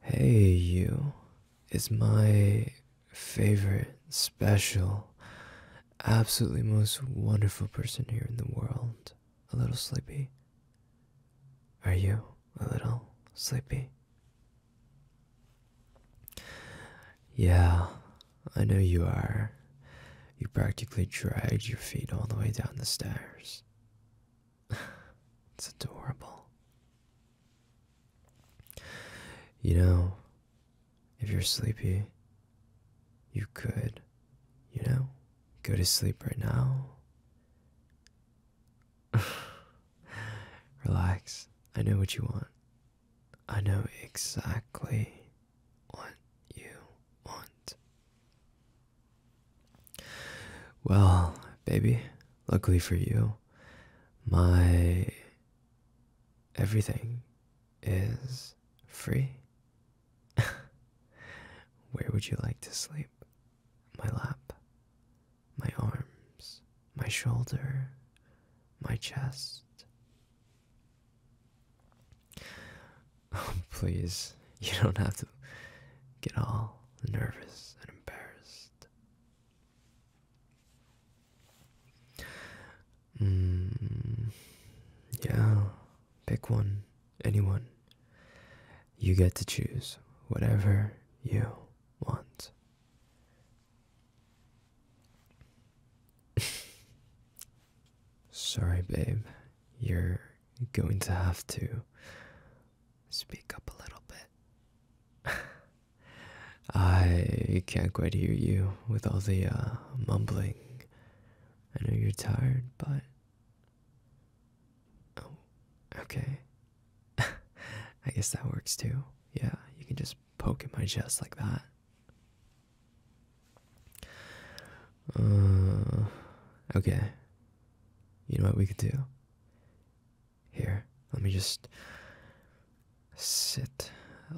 Hey You is my favorite, special, absolutely most wonderful person here in the world. A little sleepy. Are you a little sleepy? Yeah, I know you are. You practically dragged your feet all the way down the stairs. it's adorable. You know, if you're sleepy, you could, you know, go to sleep right now. Relax. I know what you want. I know exactly what you want. Well, baby, luckily for you, my everything is free. Where would you like to sleep? My lap, my arms, my shoulder, my chest. please, you don't have to get all nervous and embarrassed. Mm, yeah, pick one, anyone. You get to choose whatever you want. Sorry, babe. You're you're going to have to speak up a little bit. I can't quite hear you with all the uh, mumbling. I know you're tired, but. Oh, okay. I guess that works too. Yeah, you can just poke at my chest like that. Uh, okay. You know what we could do? Here, let me just sit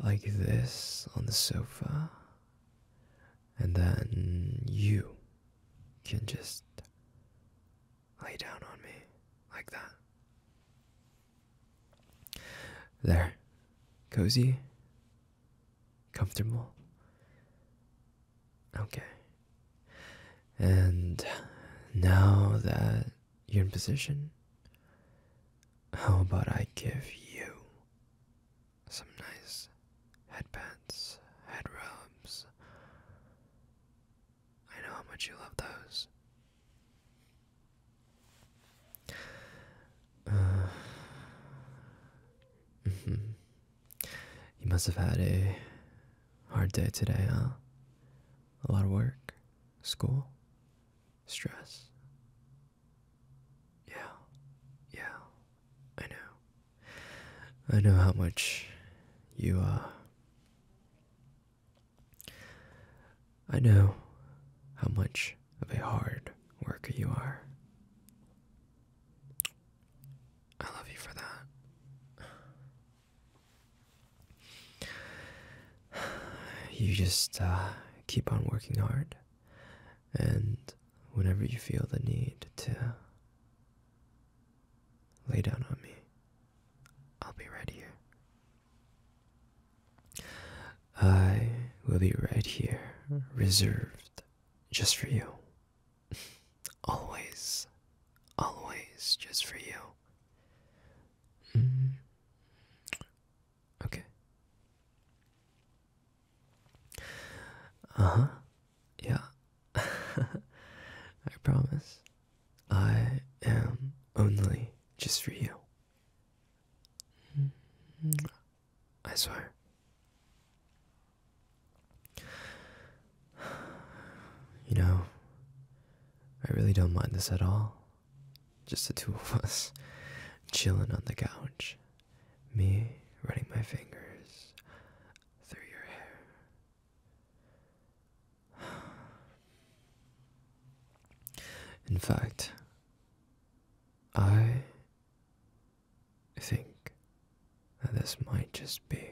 like this on the sofa, and then you can just lay down on me like that. There. Cozy? Comfortable? Okay. And now that you're in position, how about I give you some nice headbands, head rubs? I know how much you love those. Uh, mm You must have had a hard day today, huh? A lot of work, school, stress. Yeah, yeah, I know. I know how much you, are. Uh, I know how much of a hard worker you are. I love you for that. You just uh, keep on working hard, and whenever you feel the need to lay down on me, I'll be right here. I will be right here, reserved just for you. Always, always just for you. Mm. Okay. Uh huh. Yeah. I promise. I am only just for you. Mm-hmm. I swear. You know, I really don't mind this at all. Just the two of us chilling on the couch. Me running my fingers through your hair. In fact, I think that this might just be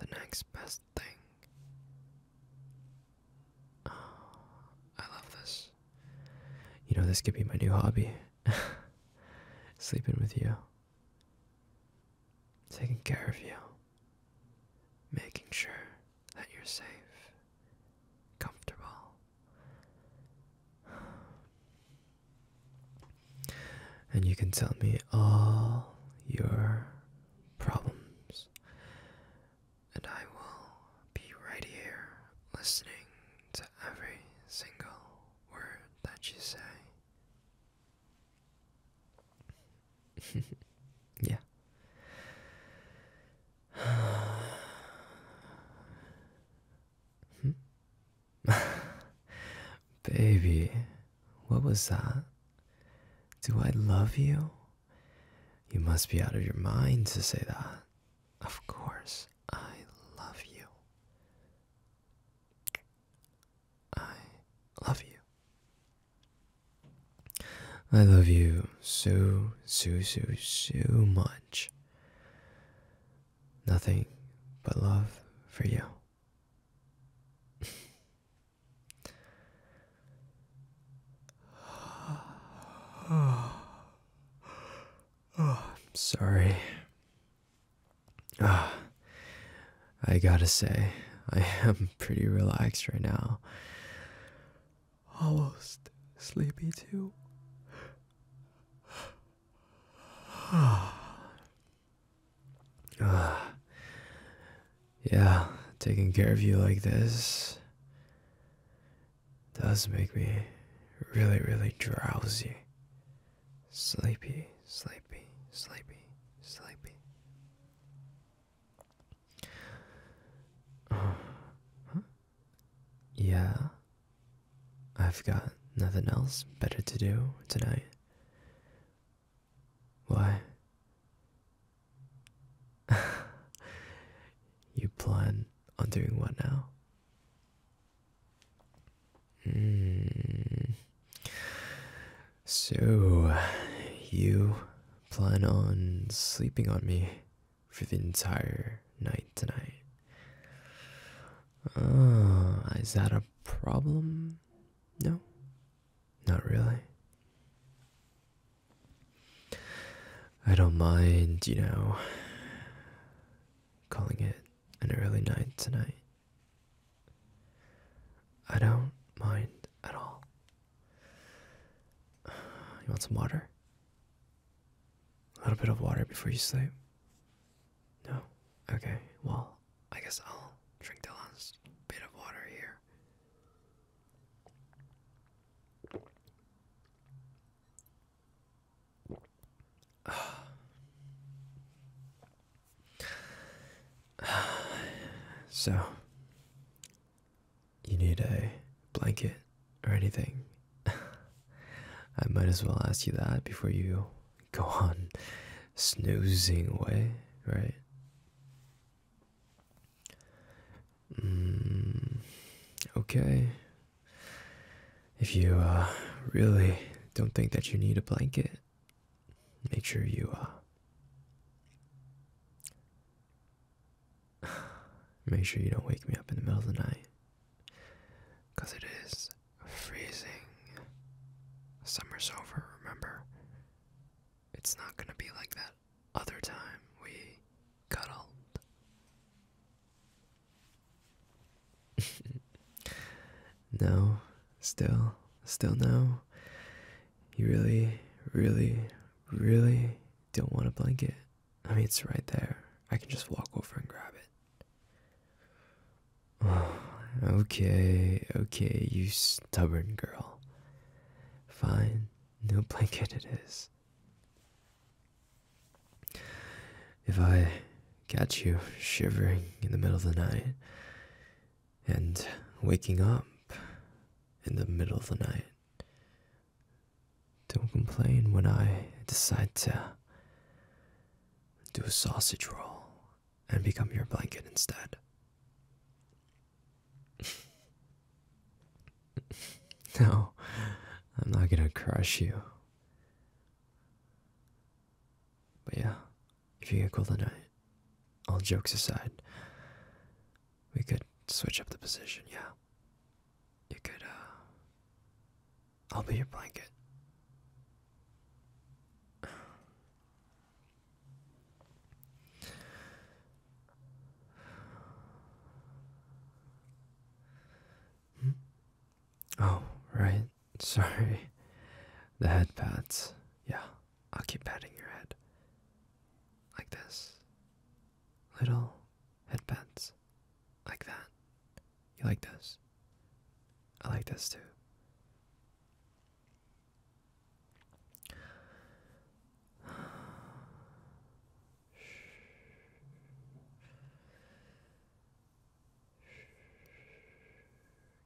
the next best thing. Ah, I love this. You know, this could be my new hobby. Sleeping with you, taking care of you, making sure that you're safe, comfortable. And you can tell me all your problems, and I will be right here listening to every single word that you say. yeah. Hmm. Baby, what was that? Do I love you? You must be out of your mind to say that. Of course, I love you. I love you. I love you so, so, so, so much. Nothing but love for you. I'm sorry. I gotta say, I am pretty relaxed right now. Almost sleepy too. uh, yeah, taking care of you like this does make me really, really drowsy. Sleepy, sleepy, sleepy, sleepy. Yeah. I've got nothing else better to do tonight. Why? you plan on doing what now? Hmm. So, you plan on sleeping on me for the entire night tonight? Uh, is that a problem? No, not really. I don't mind, you know, calling it an early night tonight. I don't mind at all. You want some water? A little bit of water before you sleep? No? Okay, well, I guess I'll drink the last bit of water here. So, you need a blanket or anything? I might as well ask you that before you go on snoozing away, right? Mm, okay. If you uh, really don't think that you need a blanket, make sure you uh, make sure you don't wake me up in the middle of the night because it is freezing summer's over remember it's not gonna be like that other time we cuddled no, still, still no. You really, really, really don't want a blanket. I mean, it's right there. I can just walk over and grab it. okay, okay, you stubborn girl. Fine, no blanket it is if I catch you shivering in the middle of the night and waking up in the middle of the night. Don't complain when I decide to do a sausage roll and become your blanket instead. no, I'm not gonna crush you. But yeah, if you get cold at all jokes aside, we could switch up the position, yeah. You could, uh, I'll be your blanket. Hmm? Oh, right. Sorry. The headpads. Yeah, I'll keep patting your head. Like this. Little headpads, Like that. You like this? I like this too.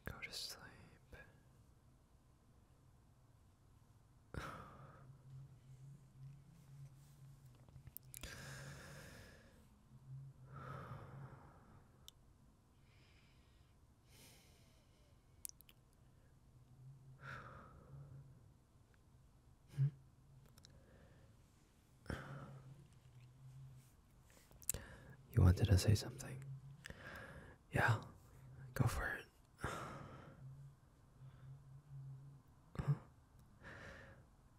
Go to sleep. hmm? You wanted to say something? Yeah, go for it.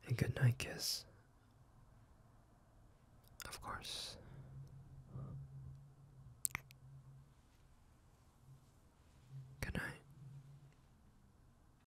And good night, kiss. Of course. Good